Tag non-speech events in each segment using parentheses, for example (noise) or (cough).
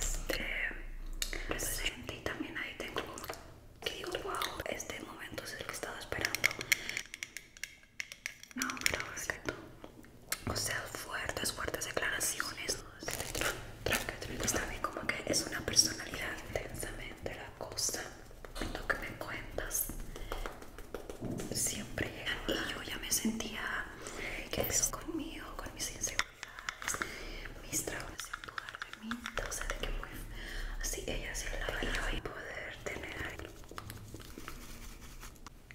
Este, presente y también ahí tengo que digo, wow, este momento se lo estaba esperando. No, pero es que o sea, fuertes, fuertes declaraciones. Está bien, como que es una personalidad intensamente la cosa. Lo que me cuentas siempre llega. Y yo ya me sentía que eso conmigo mis inseguridades, mis traumas en lugar de mí. sea de que muy así ella se la va a poder tener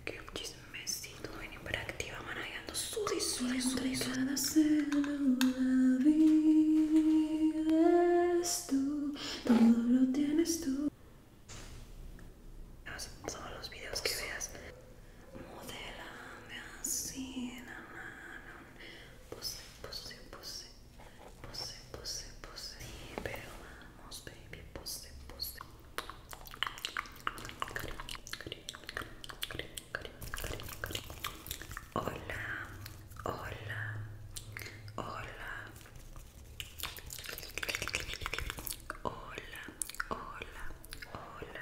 Que un chismecito bien hiperactiva, manejando su disfraz. su todo lo tienes tú. Son los videos que veas me así la mano pose, pose, pose pose, pose, pose pero vamos baby, pose, pose hola, hola, hola Hola, hola, hola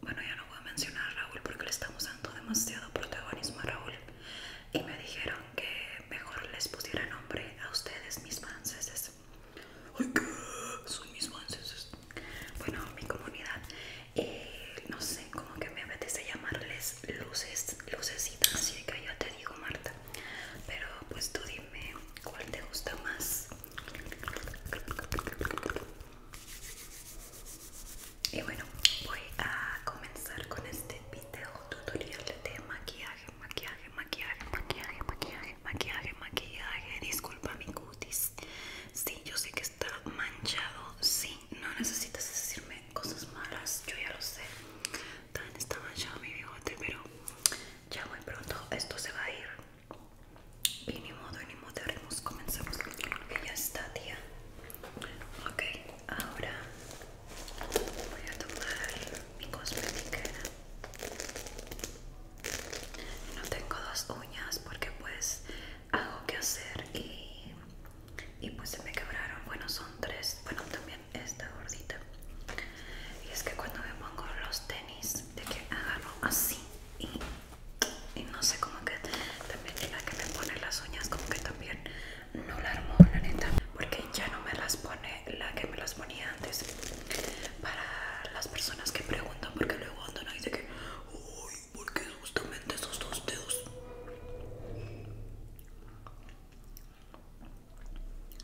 Bueno, ya no voy a mencionar a Raúl porque le estamos dando demasiado protagonismo a Raúl. Y me dijeron que mejor les pusiera nombre a ustedes, mis franceses. ¡Ay, qué! Son mis franceses. Bueno, mi comunidad. Eh, no sé, cómo que me apetece llamarles luces, lucecitas. Así que yo te digo, Marta. Pero pues tú dime cuál te gusta más. Y bueno, voy a comenzar con este video tutorial de maquillaje, maquillaje, maquillaje, maquillaje, maquillaje, maquillaje, maquillaje. Disculpa mi cutis. Sí, yo sé que está manchado. Sí, no necesitas decirme cosas malas, yo ya lo sé. También está manchado mi bigote, pero ya muy pronto esto se va a ir y ni modo, ni modo, comenzamos que ya está, tía ok, ahora voy a tomar mi cosmética no tengo dos uñas porque pues hago que hacer y, y pues se me quebraron, bueno son tres, bueno también esta gordita y es que cuando me pongo los tenis de que agarro así y y no sé cómo que también la que me pone las uñas como que también no la armó la neta porque ya no me las pone la que me las ponía antes para las personas que preguntan porque luego andan Y de que uy porque justamente esos dos dedos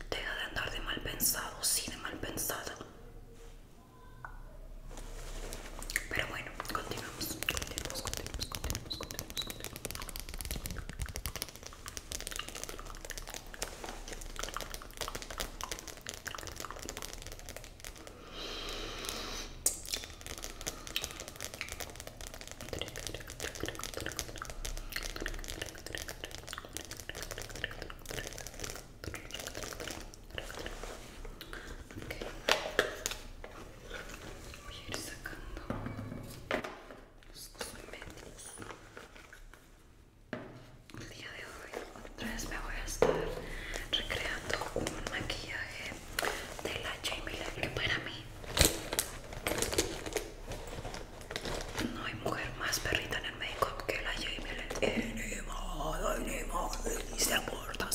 deja de andar de mal pensado sí de mal pensado pero bueno, continuamos, continuamos, continuamos, continuamos, continuamos, continuamos. Voy a ir sacando los El día de hoy otra vez me voy a estar recreando un maquillaje de la Jamie Lee que para mí no hay mujer más perrita en el make-up que la Jamie Lee modo, se aporta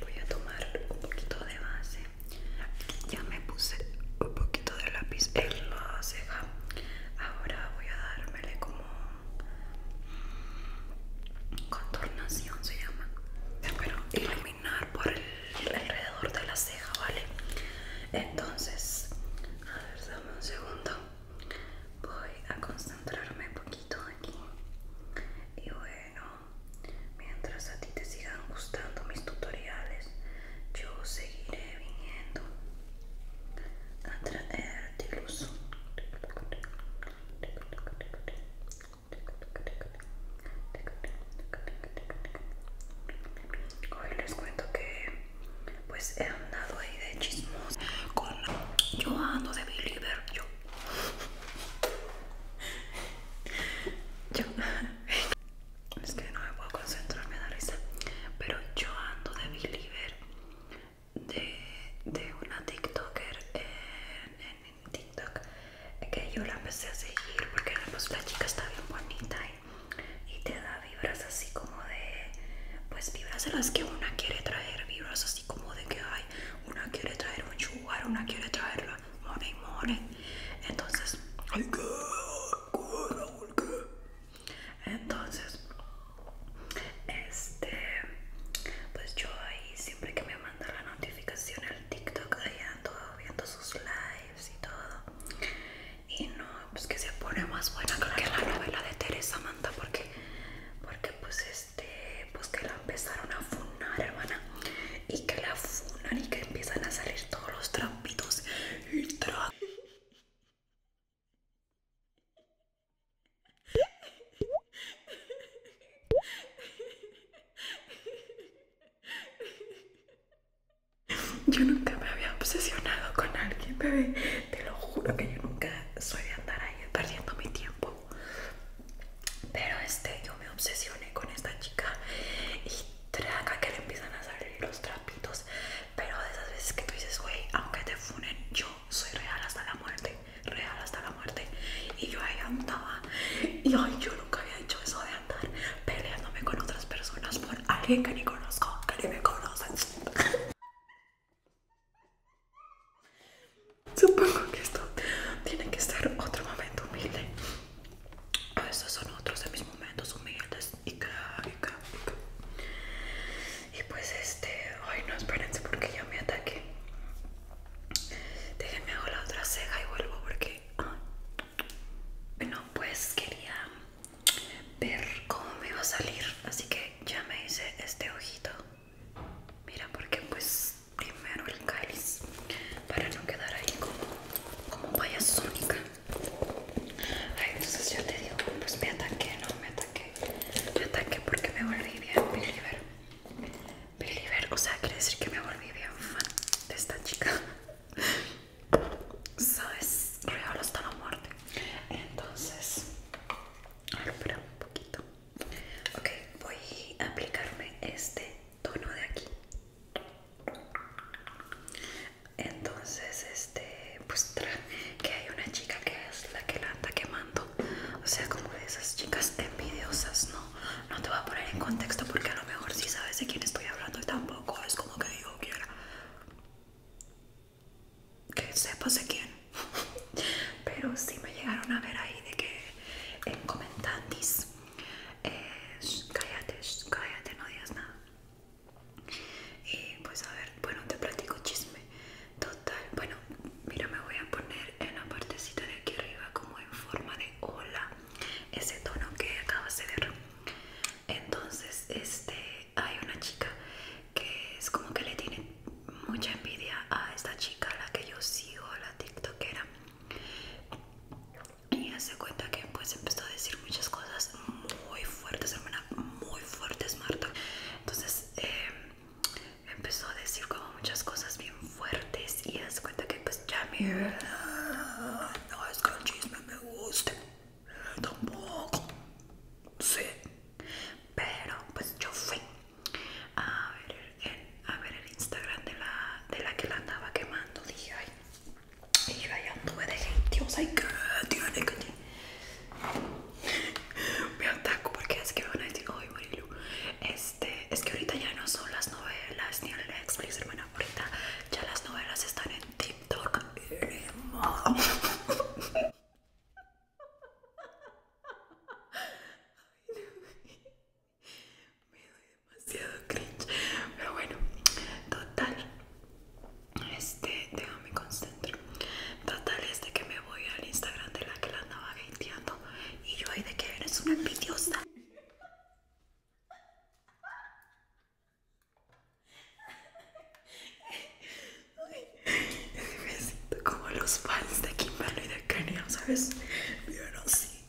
Voy a tomar un poquito de base. Ya me puse un poquito de lápiz en la ceja. Ahora voy a dármele como contornación se llama. Pero por el, alrededor de la ceja, ¿vale? Entonces, a ver, dame un segundo. Voy a concentrarme poquito aquí. Y bueno, mientras a ti te sigan gustando mis tutoriales, yo seguiré viniendo a traerte luz. Hoy les cuento que pues he andado ahí de chismos con yo ando de believer, yo. (laughs) es que no me puedo concentrar, me da risa. Pero yo ando de believer de, de una TikToker en TikTok que yo la empecé a seguir porque pues, la chica está bien bonita y, te da vibras así como de pues vibras de las que una quiere traer vibras así como de que hay una quiere traer un chugar una quiere traer la money entonces entonces este pues yo ahí siempre que me manda la notificación al TikTok de viendo sus lives y todo y no, pues que se pone más buena que la novela de Teresa Manta porque, porque pues este, pues que la empezaron a funar hermana y que la funan y que empiezan a salir todos los trampitos y (laughs) (laughs) Yo nunca me había obsesionado con alguien, bebé. Te lo juro que yo nunca suele andar ahí perdiendo mi tiempo. Pero este, yo me obsesioné con esta chica y traga que le empiezan a salir los trapitos. Pero de esas veces que tú dices, güey, aunque te funen, yo soy real hasta la muerte. Real hasta la y yo ahí andaba y hoy yo nunca había hecho eso de andar peleándome con otras personas por alguien que ni conozco, que ni me conocen (laughs) Supongo que esto tiene que ser otro momento humilde. Estos son otros de mis momentos humildes. Y y pues este. Ay, no, esperen porque yo me ataque Déjenme hago la otra ceja y vuelvo porque bueno, pues quería ver cómo me iba a salir así que ya me hice este ojito mira porque pues primero el cáliz para no quedar ahí como como payasónica ay entonces yo te digo pues me ataqué no me ataqué me ataqué porque me volví bien libero Believer, o sea, quiere decir que me volví bien fan de esta chica. Sabes, (laughs) real hasta la muerte. Entonces, a espera un poquito. Ok, voy a aplicarme este tono de aquí. Entonces, este, pues que hay una chica que es la que la anda quemando. O sea, como de esas chicas envidiosas, ¿no? no te voy a poner en contexto porque a lo mejor si sabes de quién estoy hablando tampoco es como que yo quiera que sepas de quién. (laughs) Pero si me llegaron a ver ahí de que en comentantes, eh, cállate, cállate, no digas nada. Y pues a ver, bueno, te platico chisme. Total, bueno, mira, me voy a poner en la partecita de aquí arriba como en forma de ola ese tono que acabas de ver entonces este hay una chica que es como que le tiene mucha envidia a esta chica la que yo sigo la tiktokera y hace cuenta que pues empezó a decir muchas cosas muy fuertes hermana muy fuertes Marta entonces eh, empezó a decir como muchas cosas bien fuertes y das cuenta que pues ya me no es que el chisme me guste tampoco sí pero pues yo fui a ver el, Instagram de la, de la que la andaba quemando dije ay y yo anduve de gente Dios ay que (laughs) me ataco porque es que me van a decir ay Marilu es este, es que ahorita ya no son las novelas ni el Netflix, hermana. Ahorita ya las novelas están en TikTok. Me doy demasiado cringe. Pero bueno, total. Este, déjame concentrar. Total es de que me voy al Instagram de la que la andaba gateando. Y yo ahí de que eres una envidiosa. Me siento como los fans de Kimberly y de Kenia, ¿sabes? sí, sí,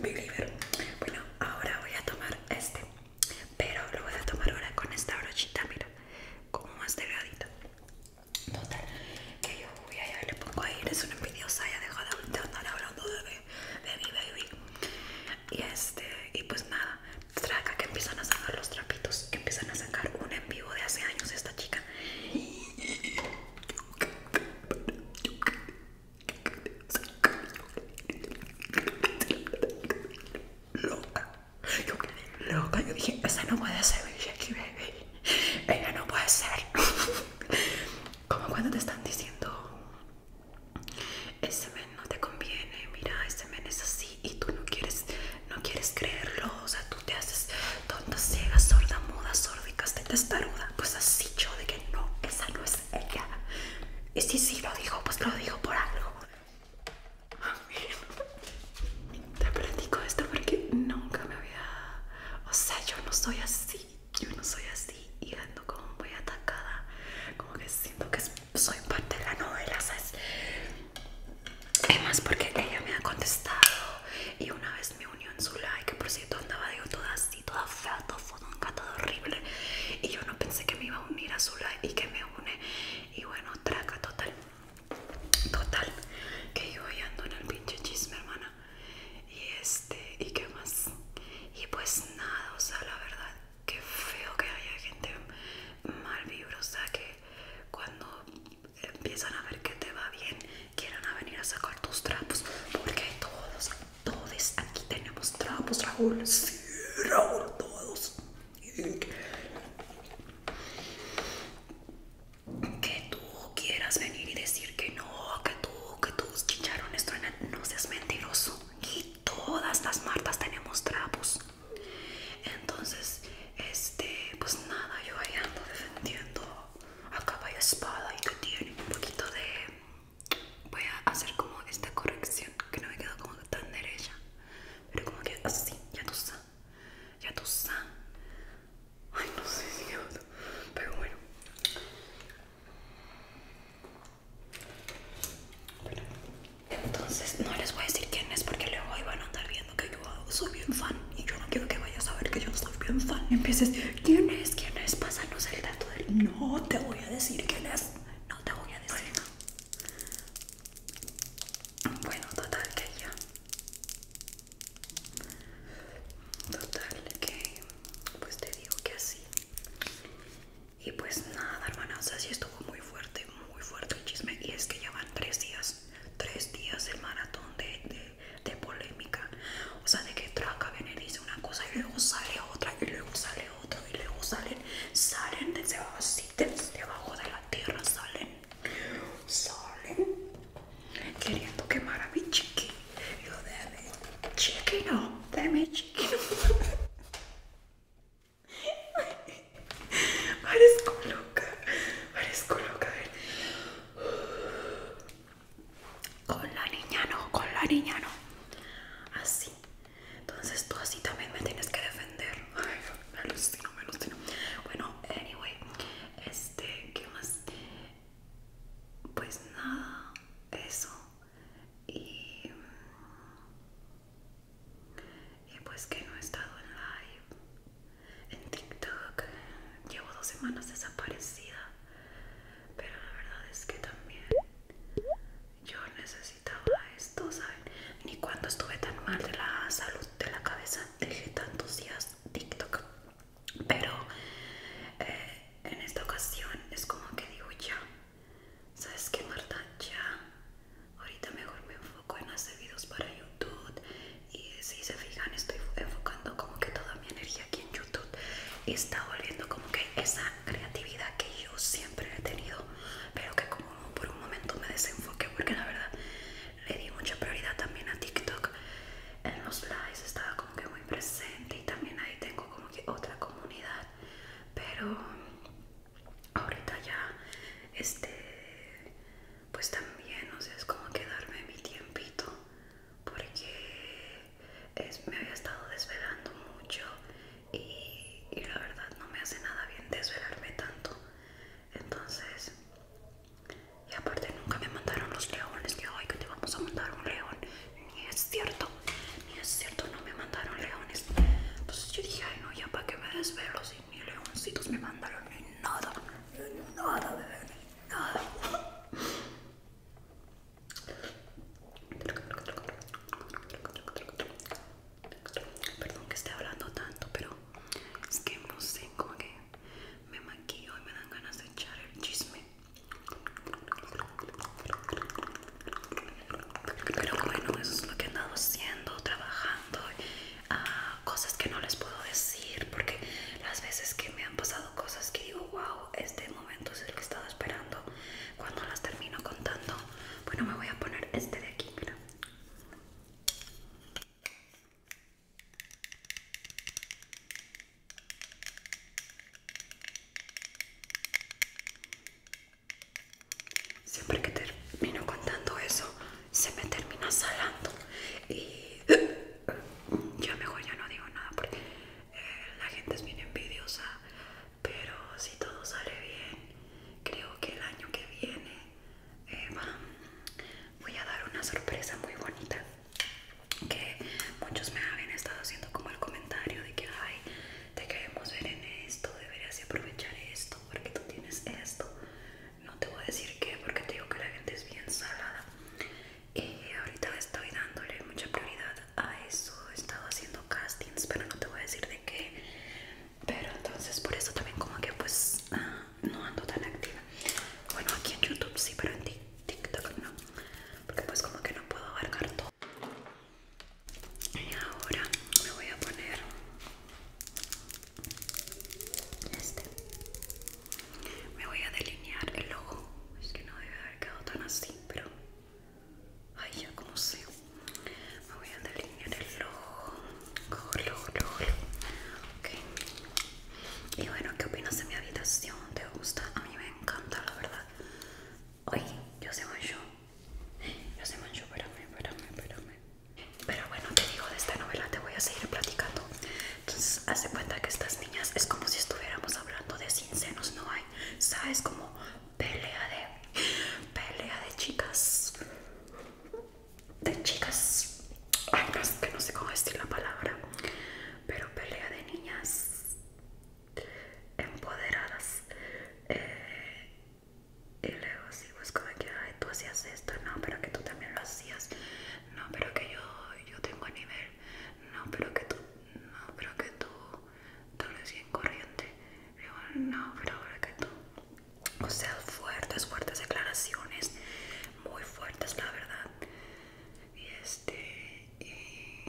mi believer. Bueno, ahora voy a tomar este, pero lo voy a tomar ahora con esta brochita, mira, como más delgadito Total, que yo voy a y le pongo ahí, es una envidiosa, ya dejo de andar hablando de baby, baby, Y este, y pues nada, traca que empiezan a sacar los trapitos, que empiezan a sacar un en vivo de hace años esta chica. Loca, yo quedé loca, yo dije, esa no puede ser Baby, ella no puede ser. Como cuando te están diciendo, ese men no te conviene, mira, ese men es así y tú no quieres, no quieres creerlo, o sea, tú te haces tonta, ciega, sorda, muda, estás testaruda. Pues así yo de que no, esa no es ella. Y si sí lo dijo, pues lo dijo por algo. Te platico esto porque nunca me había... O sea, yo no soy así yo no soy así y ando como muy atacada, como que siento que soy parte de la novela, ¿sabes? Es más porque ella me ha contestado y una vez me unió en su like, que por cierto andaba digo, toda así, toda fea, toda fodonga, toda horrible y yo no pensé que me iba a unir a su like y que me une y bueno, traca total, total, que yo voy ando en el pinche chisme hermana y este y qué más y pues nada o sea la verdad que feo que haya gente mal vibrosa o que cuando empiezan a ver que te va bien quieran venir a sacar tus trapos porque todos todos aquí tenemos trapos Raúl sí Raúl todos que tú quieras venir y decir que no, que tú que todos en esto no seas mentiroso. Y todas las martas tenemos trapos. Entonces, este, pues nada, yo ahí ando defendiendo a caballo espada y que tiene un poquito de. Voy a hacer como esta corrección que no me quedó como tan derecha, pero como que así, ya tú sabes. Ya tú sabes. Ay, no sé si pero bueno entonces no les voy a decir quién es porque luego iban a andar viendo que yo soy bien fan y yo no quiero que vayas a saber que yo soy bien fan. Y empieces, ¿quién es? ¿Quién es? Pásanos el dato del. No te voy a decir quién es. No te voy a decir. Bueno, total que ya. Total que. Pues te digo que así. Y pues nada, hermanas, así estuvo muy fuerte, muy fuerte el chisme. Y es que ya van tres días, tres días el maratón de, polémica. O sea, de que Traca viene y dice una cosa y luego sale otra, y luego sale otra, y luego salen, salen de abajo, debajo de la tierra, salen, salen queriendo quemar a mi yo de chiquino, dame chiquino. (laughs) Parezco loca, parezco loca. A ver. Con la niña no, con la niña no. Así. Entonces tú así también me tienes que defender. Ay, me alucino, me alucino. Bueno, anyway, este, ¿qué más? Pues nada, eso y, y pues que no he estado en live en TikTok llevo dos semanas desaparecida pero la verdad es que también yo necesitaba esto saben ni cuando estuve tan mal de la salud de la cabeza dejé tantos días TikTok pero eh, en esta ocasión es como que digo ya, ¿sabes que Marta? Ya, ahorita mejor me enfoco en hacer videos para YouTube y si se fijan estoy enfocando como que toda mi energía aquí en YouTube y está volviendo como que esa creatividad que yo siempre he tenido, pero que como por un momento me desenfoqué porque la verdad le di mucha prioridad también a TikTok en los likes estaba como que muy presente y también ahí tengo como otra comunidad pero ahorita ya este pues también o sea es como quedarme mi tiempito porque me había estado desvelando mucho y, y la verdad no me hace nada bien desvelarme tanto entonces y aparte nunca me mandaron los leones que hoy que te vamos a mandar un león ni es cierto, ni es cierto, no me mandaron leones. Entonces yo dije, ay no, ya para que me desvelo si ni leoncitos me mandaron, ni nada, ni nada, bebé, ni nada. Perdón que esté hablando tanto, pero es que no sé, como que me maquillo y me dan ganas de echar el chisme pero bueno, eso es lo que he andado haciendo, trabajando, ah, cosas que no les puedo decir, porque las veces que me han pasado cosas que digo, wow, este momento es el que he estado esperando, cuando las termino contando, bueno, me voy a poner este de aquí, mira. Siempre que termino contando eso, se me termina salando. Y yo mejor ya no digo nada porque eh, la gente es bien envidiosa. Pero si todo sale bien, creo que el año que viene eh, voy a dar una sorpresa muy bonita que muchos me habían estado haciendo como el comentario de que, ay, te queremos ver en esto, deberías aprovechar esto porque tú tienes esto. No te voy a decir qué porque te digo que la gente es bien salada. Y ahorita estoy dándole mucha prioridad a eso. He estado haciendo castings, pero no te voy a decir de qué. Pero entonces por eso también como que pues ah, no ando tan activa. Bueno, aquí en YouTube sí, pero en TikTok no. Porque pues como que no puedo abarcar todo y ahora me voy a poner este me voy a delinear el ojo es que no debe haber quedado tan así pero ay ya como sé me voy a delinear el ojo Color. color. ok y bueno qué opinas de mi habitación te gusta a mí me encanta la verdad Oye, yo se manchó. Yo se manchó, espérame, espérame, espérame. Pero bueno, te digo, de esta novela te voy a seguir platicando. Entonces, hace cuenta que estas niñas es como si estuviéramos hablando de sin no hay. ¿Sabes? Como pelea de. pelea de chicas. de chicas. Ay, no, que no sé cómo decir la palabra. Pero pelea de niñas empoderadas eh, y luego sí busco pues, como que tú hacías esto no pero que tú también lo hacías no pero que yo yo tengo nivel no pero que tú no pero que tú tú eres bien corriente no pero que tú o sea fuertes fuertes declaraciones muy fuertes la verdad y este y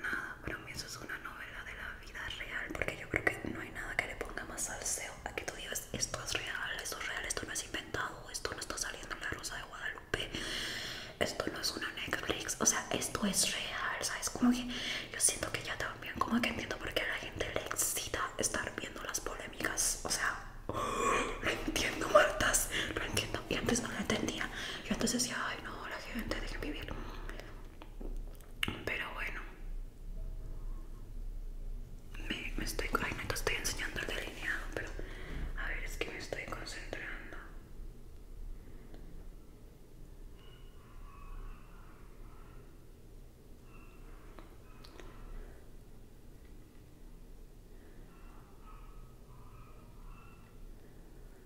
nada, para mí eso es una novela de la vida real porque yo creo que no hay nada que le ponga más salseo a que tú digas esto es real, esto es real, esto no es inventado, esto no está saliendo en la Rosa de Guadalupe, esto no es una Netflix, o sea, esto es real, ¿sabes? Como que yo siento que ya también como que entiendo por qué a la gente le excita estar viendo las polémicas, o sea... (gasps) lo entiendo, Martas, lo entiendo. Y antes no lo entendía. Yo entonces decía, ay, no, la gente, que vivir. Pero bueno, me, estoy. Ay, no te estoy enseñando el delineado, pero a ver, es que me estoy concentrando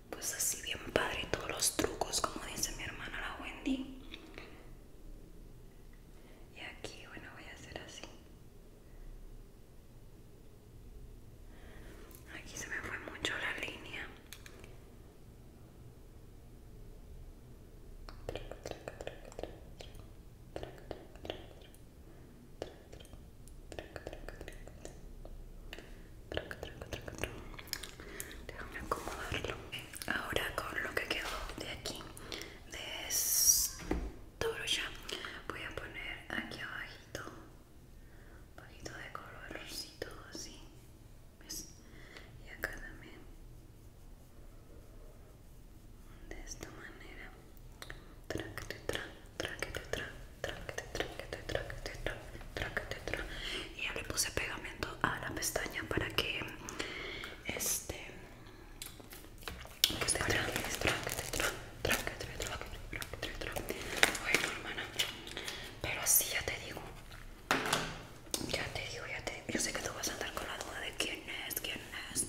pues así bien padre todos los trucos como dice mi hermana la Wendy y aquí bueno voy a hacer así aquí se me fue mucho la línea Déjame acomodarlo. Ahora con lo que quedó de aquí, de esto ya, voy a poner aquí abajito, un poquito de colorcito así. ¿Ves? Y acá también. De esta manera. Tra, tra, tra, y ya le puse pegamento a la pestaña para que este bueno hermana pero así ya te digo ya te digo ya te digo yo sé que tú vas a andar con la duda de quién es quién es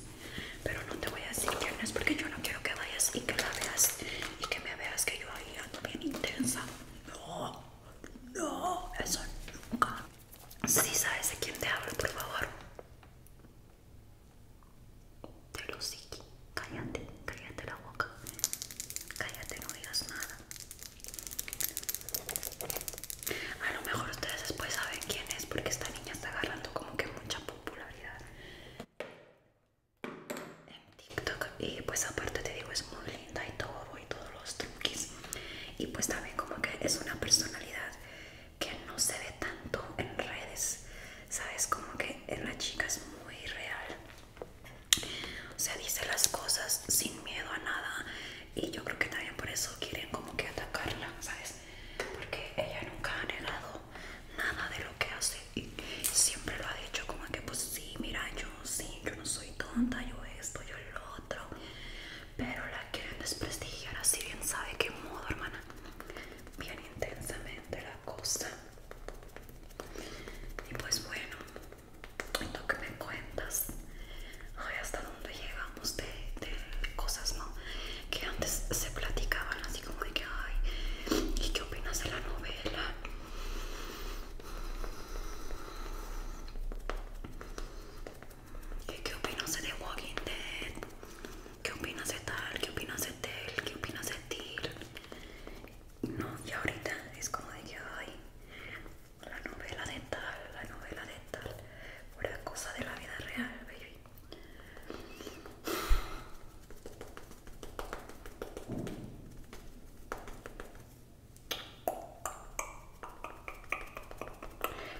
pero no te voy a decir quién es porque yo no quiero que vayas y que la veas y que me veas que yo ahí ando bien intensa no no, eso nunca. Si sabes de quién te hablo, por favor. Te lo sigue. Cállate, cállate la boca. Cállate, no digas nada. A lo mejor ustedes después saben quién es porque esta niña está agarrando como que mucha popularidad en TikTok y pues aparte te digo es muy linda y todo y todos los truquis y pues también como que es una personalidad que no se ve tanto en redes sabes como que en la chica es muy real o sea dice las cosas sin miedo a nada y yo creo que también por eso quieren como que atacarla sabes porque ella nunca ha negado nada de lo que hace y siempre lo ha dicho como que pues sí mira yo sí, yo no soy tonta, yo esto, yo lo otro. Pero la quieren desprestigiar así bien sabe qué modo, hermana. Bien intensamente la cosa. Y pues bueno, lo que me cuentas, hasta dónde llegamos de, cosas, ¿no? Que antes se platicaban así como de que, ay, ¿y qué opinas de la novela? ¿Qué opinas de The Walking Dead? ¿Qué opinas de tal? ¿Qué opinas de Tel? ¿Qué opinas de Till? No, y ahorita es como de que ay, la novela de tal, la novela de tal, una cosa de la vida real, baby.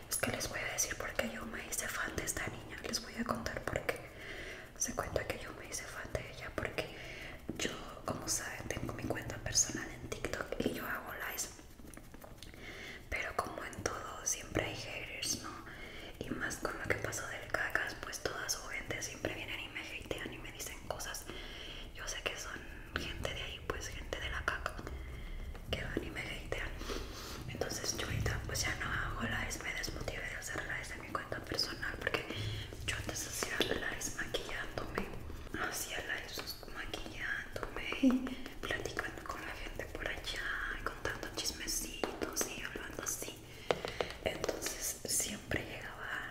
Es que les voy a decir por qué yo me hice fan de esta niña. Les voy a contar por qué. Se cuenta que yo me hice fan de ella porque yo, como saben, tengo mi cuenta personal en TikTok y yo hago lives. Pero como en todo, siempre hay haters, ¿no? Y más con lo que pasó del cacas, pues todas su gente siempre vienen y me hatean y me dicen cosas yo sé que son gente de ahí, pues gente de la caca, que van y me hatean. Entonces yo ahorita pues ya no hago likes me desmotive de hacer likes de mi cuenta personal porque yo antes hacía likes maquillándome, hacía likes maquillándome y platicando con la gente por allá y contando chismecitos y hablando así. Entonces siempre llegaba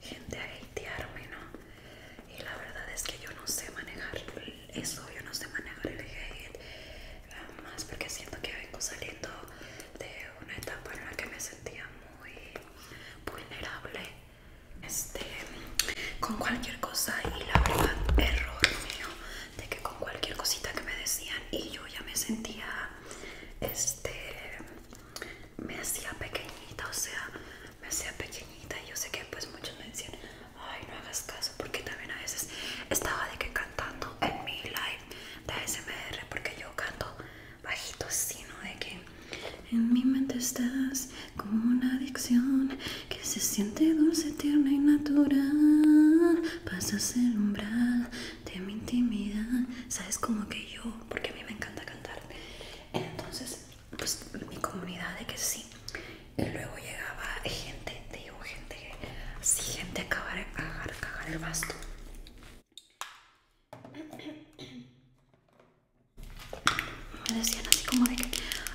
gente a hatearme, ¿no? Y la verdad es que yo no sé manejar eso, yo no sé manejar el hate, más porque siento que vengo saliendo de una etapa en la que me sentía muy vulnerable este, con cualquier cosa y la verdad, error mío, de que con cualquier cosita que me decían y yo ya me sentía este me hacía pequeñita, o sea, me hacía pequeñita y yo sé que pues muchos me decían, ay, no hagas caso, porque también a veces estaba de que cantando en mi live de ASMR, porque yo canto bajito sino De que en mi mente estás como una adicción que se siente dulce, tierna y natural, pasas el umbral de mi intimidad, sabes como que yo, porque a mí me encanta cantar entonces, pues mi comunidad de que sí. Y luego llegaba gente, digo, gente, sí, gente a cagar, cagar el basto. Me decían así como de que,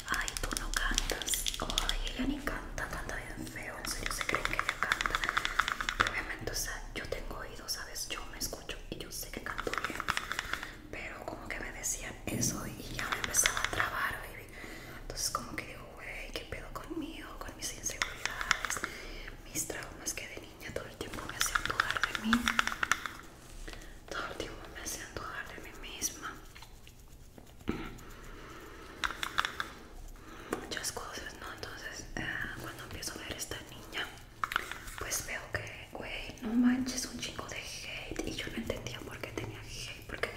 ay, tú no cantas, ay, ella ni canta, canta bien feo, en serio se creen que ella canta. obviamente, o sea, yo tengo oídos ¿sabes? Yo me escucho yo sé que canto bien, pero como que me decían eso y ya me empezaba a trabar, baby. Entonces como que digo, wey, ¿qué pedo conmigo? Con mis inseguridades, mis traumas que de niña todo el tiempo me hacían dudar de mí. Todo el tiempo me hacían dudar de mí misma. Muchas cosas, ¿no? Entonces, eh, cuando empiezo a ver a esta niña pues veo que, güey, no manches, un chingo de hate. Y yo no entendía por qué tenía hate. Porque,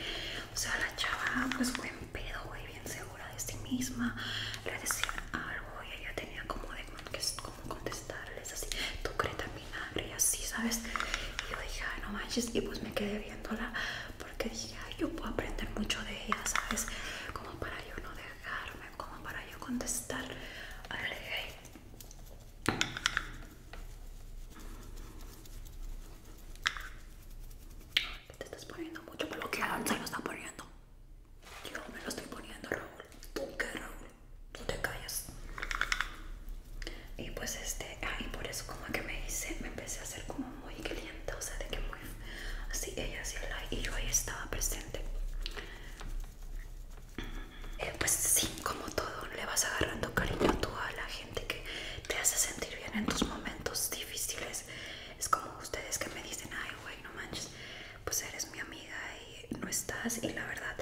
o sea, la chava, pues, buen pedo, güey, bien segura de sí misma. Le decía algo y ella tenía como de cómo contestarles, así, tú madre y así, ¿sabes? Y yo dije, no manches. Y pues me quedé viéndola porque dije, ay, yo puedo aprender mucho de ella, ¿sabes? Como para yo no dejarme, como para yo contestar al hate te estás poniendo mucho por lo que se lo está poniendo. Yo me lo estoy poniendo, Raúl. Tú qué, Raúl. Tú te callas. Y pues este, ah, y por eso como que me hice, me empecé a hacer como muy caliente, o sea, de que muy así ella hacía like y yo ahí estaba presente. Eh, pues sí, como todo, le vas agarrando cariño tú a la gente que te hace sentir bien en tus momentos difíciles. Es como ustedes que me dicen, ay, güey, no manches, pues eres mi amiga y no estás. Y la verdad,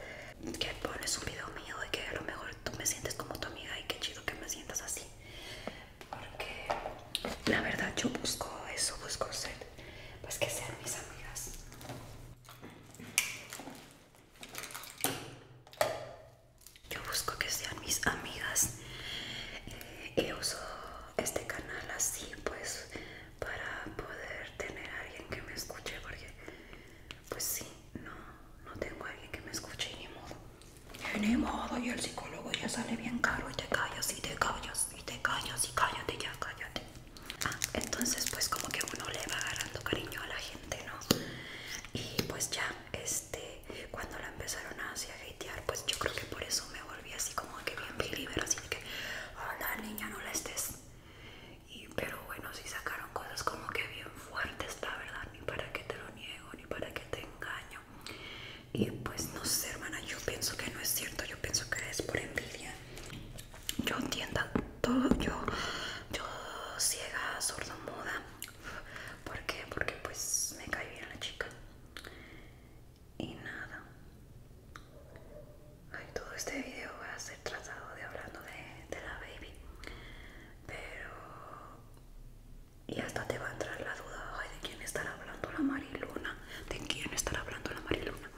que pones un video mío y que a lo mejor tú me sientes como tu amiga y qué chido que me sientas así. Porque la verdad, yo busco eso, busco ser, pues que sean mis amigas. Yo busco que sean mis amigas y eh, eh, uso este canal así pues para poder tener a alguien que me escuche porque pues sí, no, no tengo a alguien que me escuche ni modo. ni modo y el psicólogo ya sale bien caro y te callas y te callas y te callas y cállate ya, cállate. Entonces pues como que uno le va agarrando cariño a la gente, ¿no? Y pues ya, este, cuando la empezaron a, así, hatear, pues yo creo que por eso me volví así como que bien libre, así que, hola ah, niña, no la estés. Y, pero bueno, sí sacaron cosas como que bien fuertes, verdad, ni para que te lo niego, ni para que te engaño. Y pues no sé, hermana, yo pienso que no es cierto, yo pienso que es por envidia yo entienda todo, yo, yo ciega, sordo, muda. ¿Por Porque pues me cae bien la chica. Y nada. todo este video va a ser tratado de hablando de, de la baby. Pero... Y hasta te va a entrar la duda, ¿de quién estará hablando la Mariluna? ¿De quién estará hablando la Mariluna?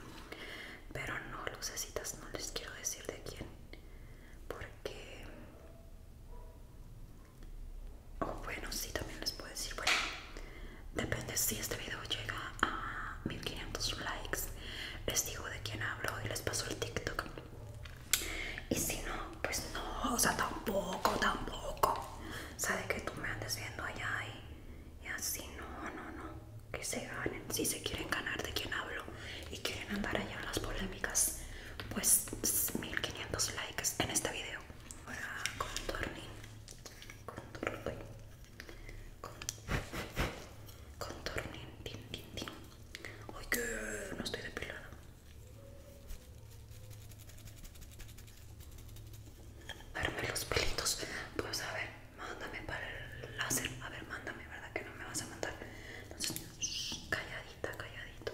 pero no lucecitas no les quiero decir de quién porque o oh, bueno sí también les puedo decir bueno depende si este video llega a 1500 likes les digo de quién hablo y les paso el tiktok y si no pues no o sea tampoco tampoco o que tú me andes viendo allá y y así, no, no, no, que se ganen. Si se quieren ganar de quien hablo y quieren andar allá en las polémicas, pues 1500 likes en este video. Ahora contorning, contorning, contorning, tin, tin, tin. que no estoy depilada. Darme los pelitos, pues a ver mándame para el láser. A ver, mándame, ¿verdad? Que no me vas a mandar. Entonces, calladita, calladito.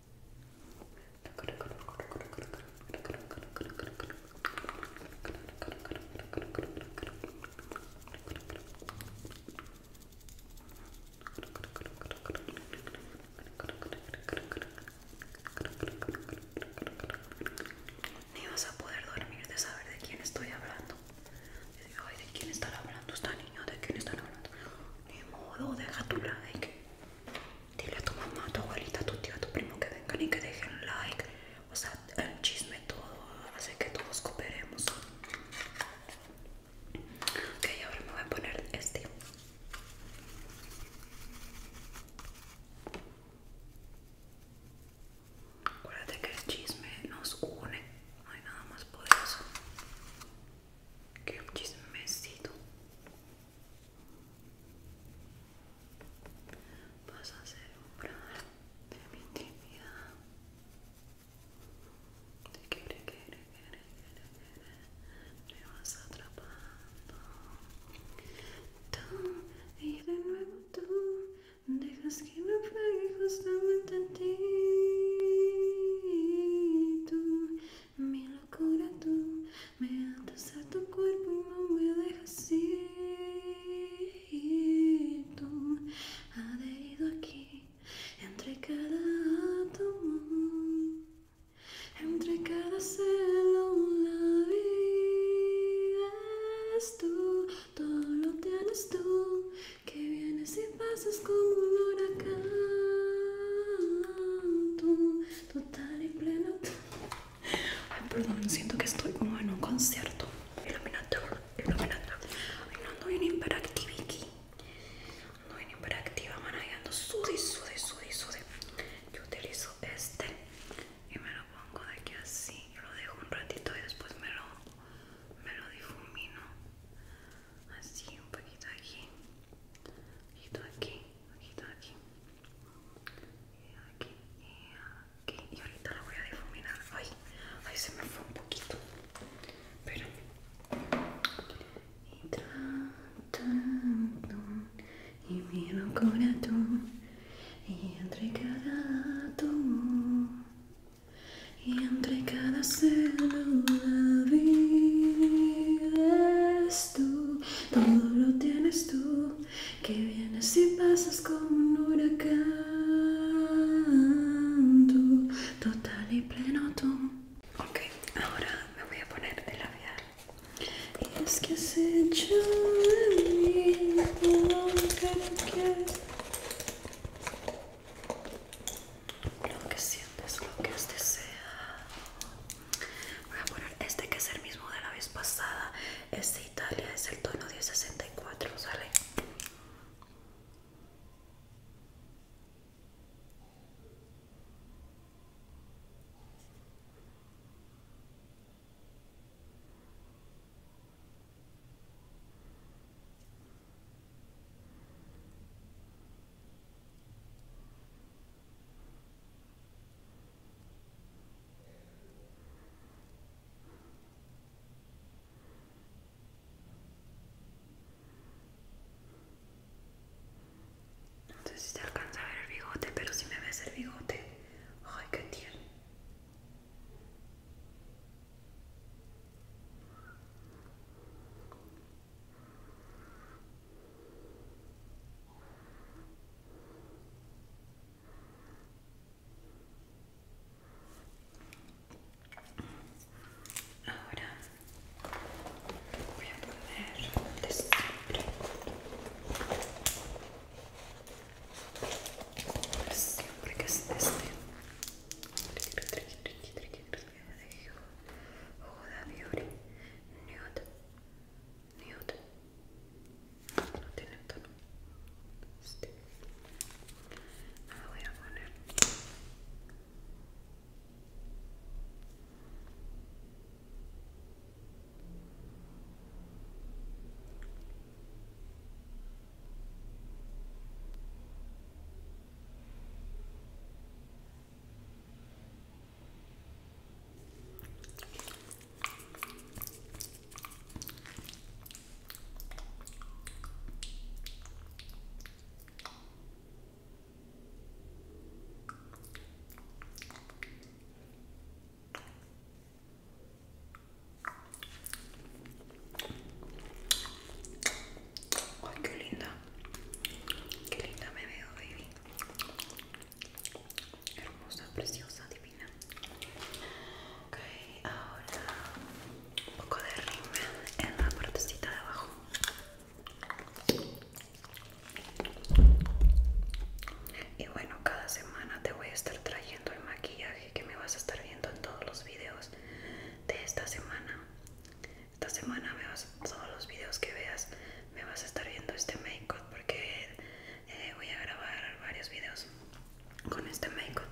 Ni vas a poder dormir de saber de quién estoy hablando. ¿de quién estará hablando esta niña? ¿De quién estará hablando? Ni modo, deja tu like dile a tu mamá, a tu abuelita, a tu a tu primo que vengan y que dejen like. O sea, el chisme todo hace que todos cooperemos. Ok, ahora me voy a poner este. Acuérdate que el chisme nos une, no hay nada más poderoso que un chismecito vas a hacer un gran de mi intimidad te quiere, quiere, quiere, quiere, quiere me vas atrapando tú y de nuevo tú dejas que naufrague justamente a ti tú mi locura tú me atas a tu cuerpo y no me dejas ir. Tú adherido aquí entre cada átomo, entre cada célula vives tú, todo lo tienes tú que vienes y pasas como un huracán total y pleno Ay, perdón, siento que estoy como en un concierto. Iluminador, iluminador. Ay, no no viene hiperactiva aquí. No viene hiperactiva, man. Ahí ando sude, sude, sude, sude. Yo utilizo este y me lo pongo de aquí así. Yo lo dejo un ratito y después me lo, me lo difumino. Así, un poquito aquí. Un poquito aquí aquí está aquí y aquí y aquí y ahorita la voy a difuminar ay ay se me fue un poquito pero y tratando y mi locura tú y entre cada tú y entre cada la vives tú, todo lo tienes tú, que vienes y pasas como un huracán, tú, total y pleno tú. Ok, ahora me voy a poner de labial. Y es que has hecho lo que Lo que sientes, lo que has deseado Voy a poner este que es el mismo de la vez pasada. Este Italia es el tono 1064, ¿sale? No sé si se alcanza a ver el bigote, pero si me ves el bigote, ay, qué tierno. Ahora voy a poner siempre. Siempre que es Beauty nude no tiene tono este. me ah, voy a poner Ay, qué linda, qué linda me veo, baby hermosa, preciosa, divina. Ok, ahora un poco de rima en la partecita de abajo. Y bueno, cada semana te voy a estar trayendo el maquillaje que me vas a estar viendo en todos los videos de esta semana. Esta semana veas todos los videos que veas me vas a estar viendo este make-up porque eh, voy a grabar varios videos con este make-up.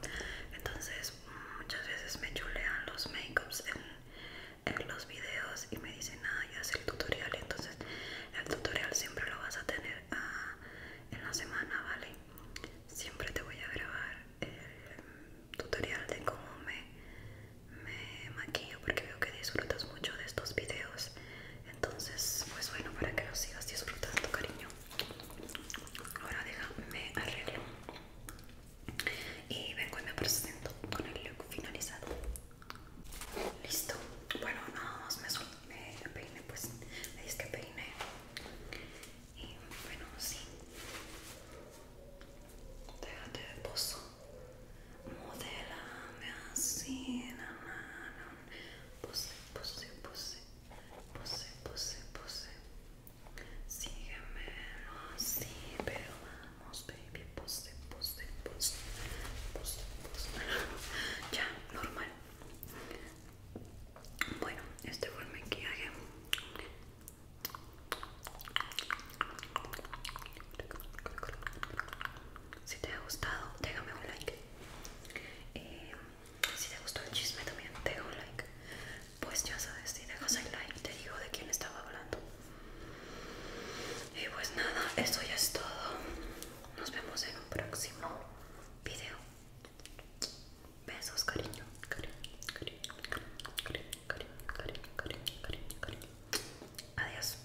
Entonces, muchas veces me chulean los make-ups en, los videos y me dicen, ah, ya sé el tutorial. Entonces, el tutorial siempre lo vas a tener ah, en la semana, ¿vale? Siempre te voy a grabar el tutorial de cómo me, me maquillo porque veo que disfrutas mucho de estos videos entonces pues bueno para que lo sigas disfrutando cariño ahora déjame arreglo y vengo y me presento con el look finalizado listo bueno nada más me, peine pues me dice que peiné y bueno sí déjate de pozo Modela así la mano pose, pose, pose pose, pose, pose síguemelo así pero vamos baby pose, pose, pose pose, pose (laughs) ya, normal bueno, este fue el maquillaje si te ha gustado, déjame un like. Y eh, si te gustó el chisme también, deja un like. Pues ya sabes, si dejas el like, te digo de quién estaba hablando. Y pues nada, eso ya es todo. Nos vemos en un próximo video. Besos, cariño, cariño, cariño, cariño, cariño, cariño, cariño, cariño, cariño. Adiós.